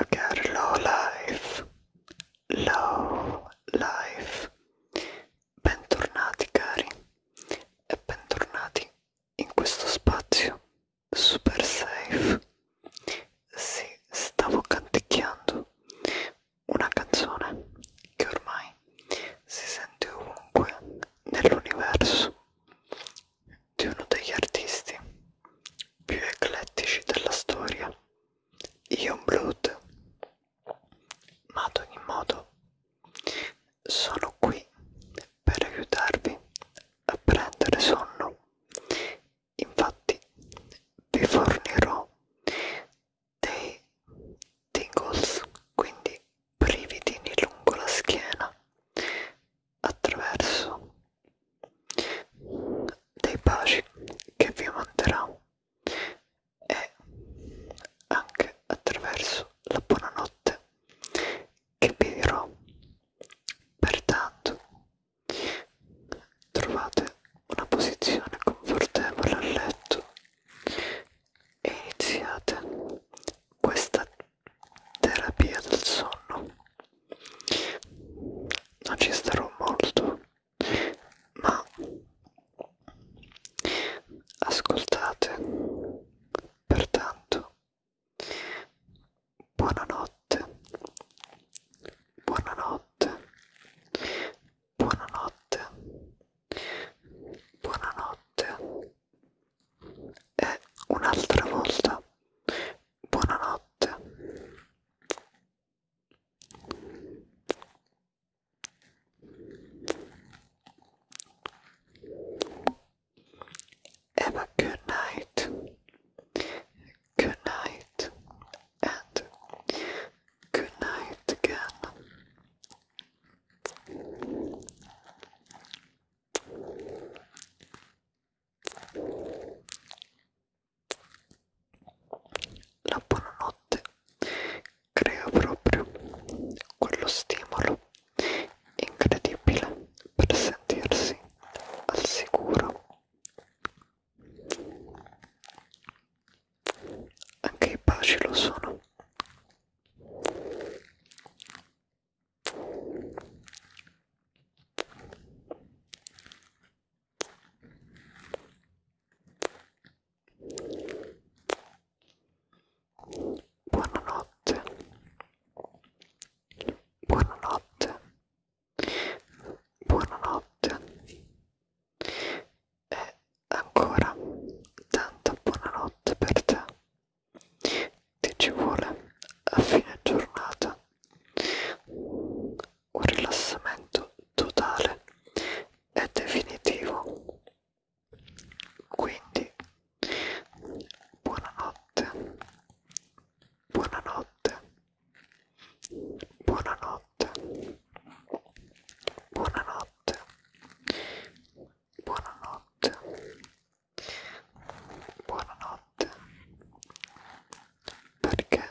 a girl low life, low life. Bentornati cari e bentornati in questo spazio super safe. Sì, stavo canticchiando una canzone che ormai si sente ovunque nell'universo di uno degli artisti più eclettici della storia, Ion Blood. Ma ad ogni modo sono qui per aiutarvi a prendere sonno. Infatti vi fornirò dei tingles, quindi brividini lungo la schiena attraverso dei baci che vi manderà e anche attraverso la buonanotte che vi dirò pertanto trovate una posizione confortevole a letto e iniziate questa terapia del sonno non ci starò molto ma ascoltate pertanto buonanotte buonanotte buonanotte buonanotte e un'altra volta buonanotte Have a good night. Good night. And good night again. La buonanotte crea proprio quello stimolo incredibile per sentirsi al sicuro. Anche i baci lo sono. Buonanotte. Buonanotte. Buonanotte. E ancora tanta buonanotte per te. Ti ci vuole a fine giornata un rilassamento totale e definitivo. Quindi, buonanotte, buonanotte, buonanotte, buonanotte, buonanotte, buonanotte, perché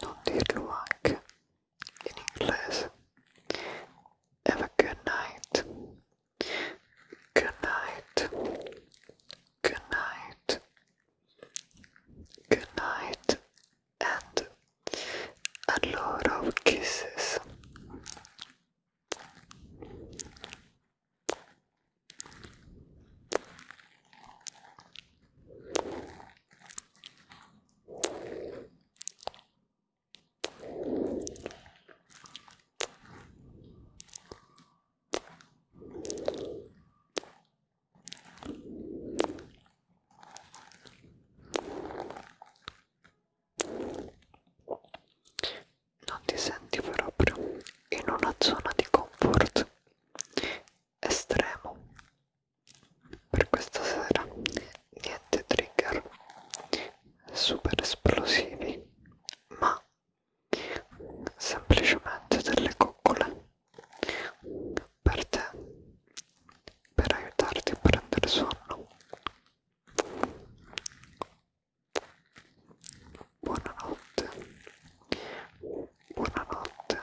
non dirlo in inglese? Have a good night. Good night. Good night. Good night. And a lot of kisses. Non ti senti proprio in una zona di comfort estremo per questa sera niente trigger super esplosivi ma semplicemente delle coccole per te per aiutarti a prendere sonno buonanotte buonanotte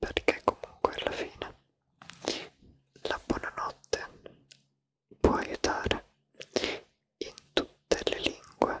perché comunque alla fine la buonanotte può aiutare in tutte le lingue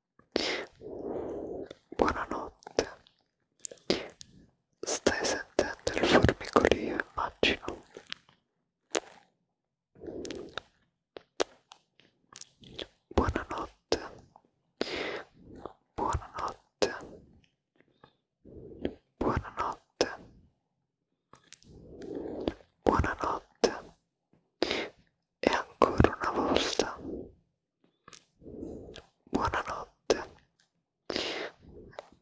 Buonanotte. Stai sentendo il formicolio, immagino. Buonanotte. Buonanotte. Buonanotte. Buonanotte e ancora una volta buonanotte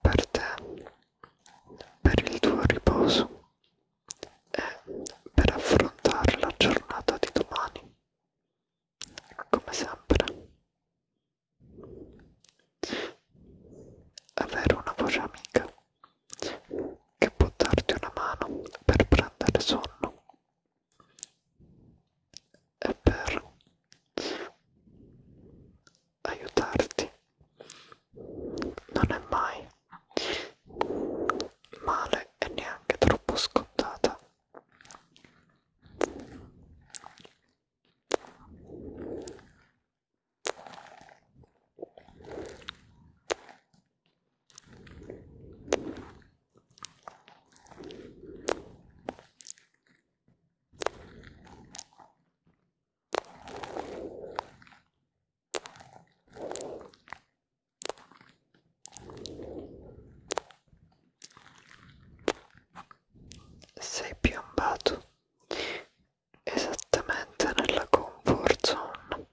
per te, per il tuo riposo e per affrontare la giornata di domani come sempre avere una voce amica che può darti una mano per prendere sonno e per aiutarti non è mai male e neanche troppo scontata sei piombato esattamente nella comfort zone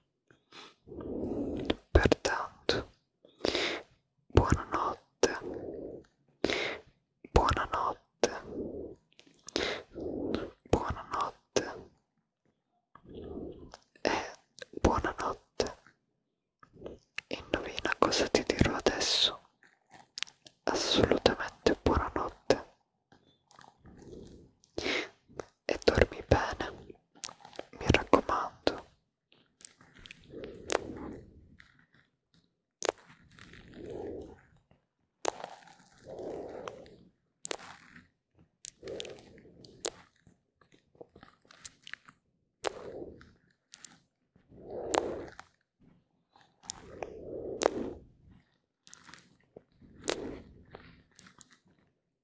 Pertanto, buonanotte, buonanotte, buonanotte e buonanotte. Indovina cosa ti dirò adesso. Assolutamente buonanotte e dormi bene, mi raccomando.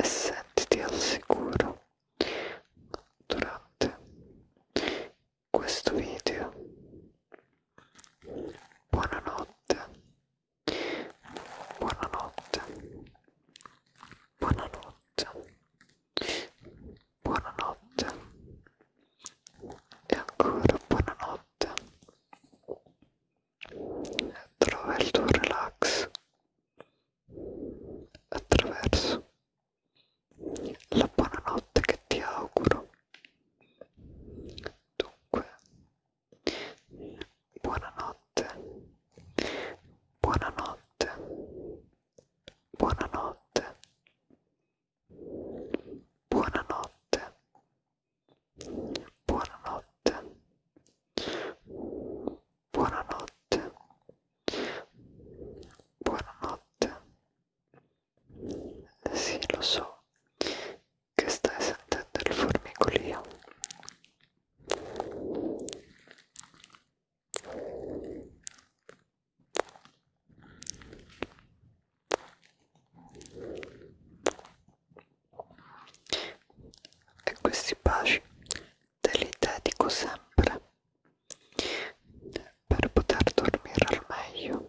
e sentiti al sicuro durante questo video. Buonanotte, buonanotte, buonanotte, buonanotte e ancora buonanotte trova il tuo relax attraverso la buonanotte che ti auguro dunque buonanotte buonanotte buonanotte buonanotte Buonanotte. Buonanotte. Buonanotte. Sì, lo so che stai sentendo il formicolio e questi baci te li dedico sempre per poter dormire al meglio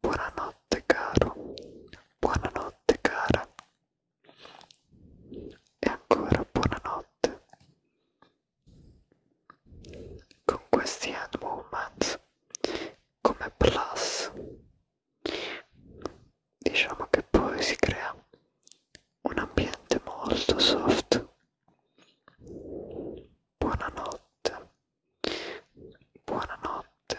Buonanotte caro, buonanotte cara e ancora buonanotte. Con questi hand movements come plus diciamo che poi si crea un ambiente molto soft. Buonanotte, buonanotte,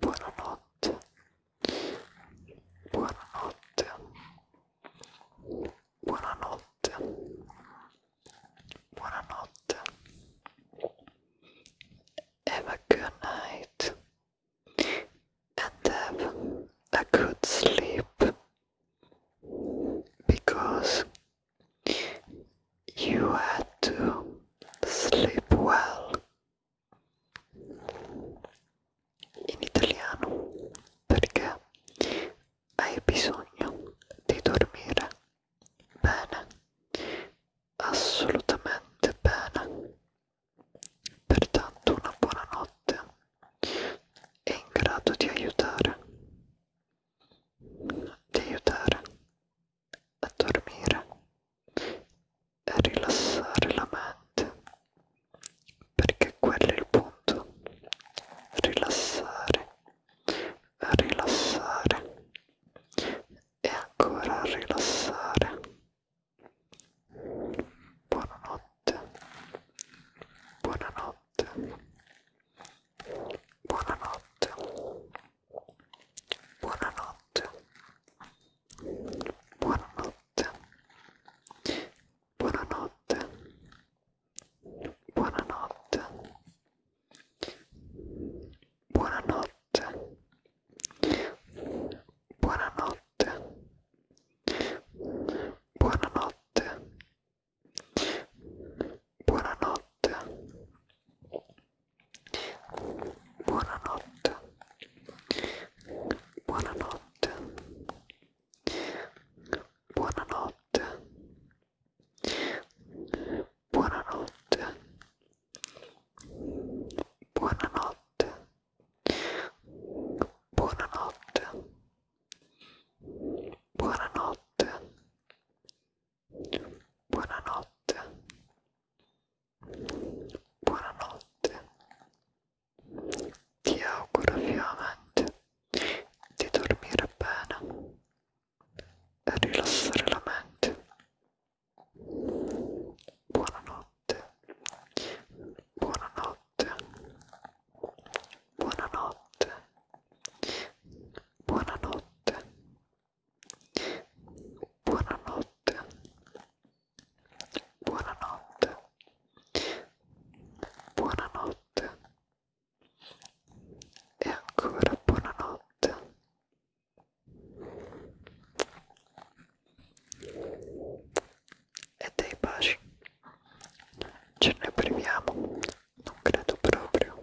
Buonanotte, buonanotte, buonanotte, buonanotte. have a good night and have a good sleep because you had to sleep well. In italiano perché hai bisogno di dormire bene assolutamente bene. Pertanto una buona notte è in grado di aiutare, di aiutare a dormire e a rilassare la mente, perché quello è il punto, rilassare, rilassare e ancora a rilassare. Buonanotte, buonanotte, buonanotte, buonanotte, buonanotte, buonanotte, buonanotte. Buonanotte, Buonanotte. Buonanotte. Buonanotte. Buonanotte. Buonanotte. Buonanotte. Buonanotte. Buonanotte. Buonanotte. Buonanotte. Buonanotte. Buonanotte. Ti auguro vivamente di dormire bene e rilassare la mente buonanotte, buonanotte, buonanotte, buonanotte, buonanotte, buonanotte, buonanotte e ancora buonanotte e dei baci ce ne priviamo non credo proprio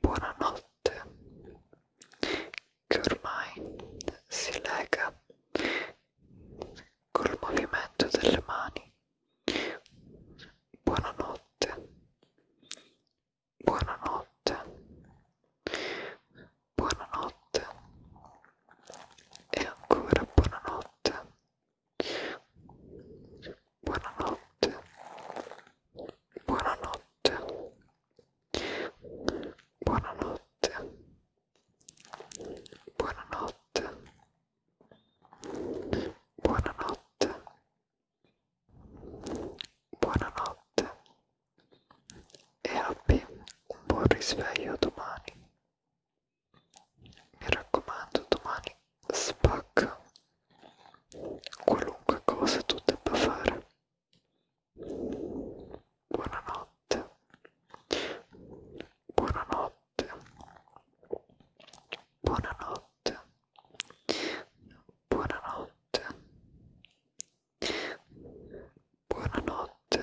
buonanotte che ormai si lega col movimento delle mani buonanotte buonanotte buonanotte e ancora buonanotte Buonanotte. Buonanotte. Buonanotte. Buonanotte. Buonanotte. Buonanotte. E abbi un buon risveglio domani. Mi raccomando, domani spacca qualunque cosa tu debba fare. Buonanotte, buonanotte, buonanotte, buonanotte, buonanotte, buonanotte,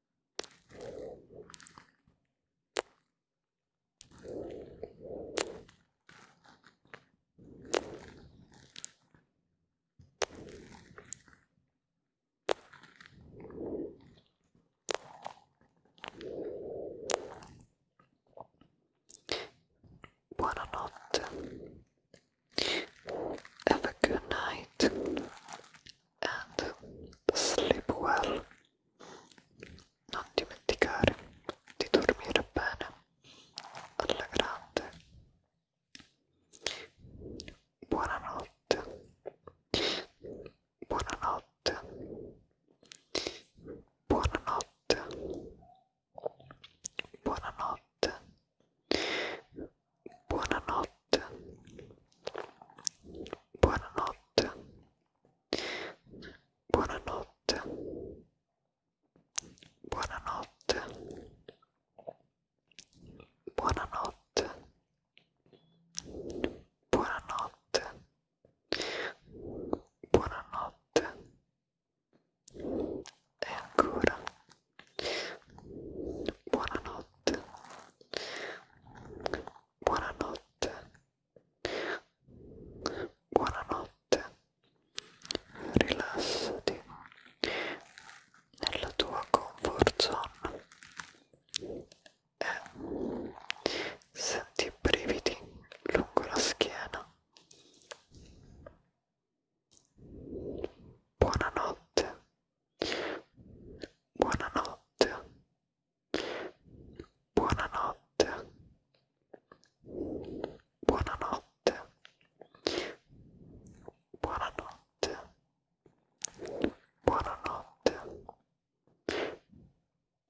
Buonanotte. Have a good night. and sleep well. Non dimenticare di dormire bene alla grande. Buonanotte. Buonanotte. Buonanotte. Buonanotte. Buonanotte. Buonanotte. Buonanotte. Buonanotte. Buonanotte. Buonanotte. Buonanotte. E ancora Buonanotte. Buonanotte. Buonanotte. Rilassati nella tua comfort zone e senti i brividi lungo la schiena. Buonanotte. Buonanotte. Buonanotte. Buonanotte. Buonanotte. Buonanotte.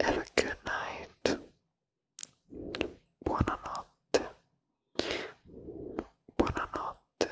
Have a good night. Buonanotte. Buonanotte.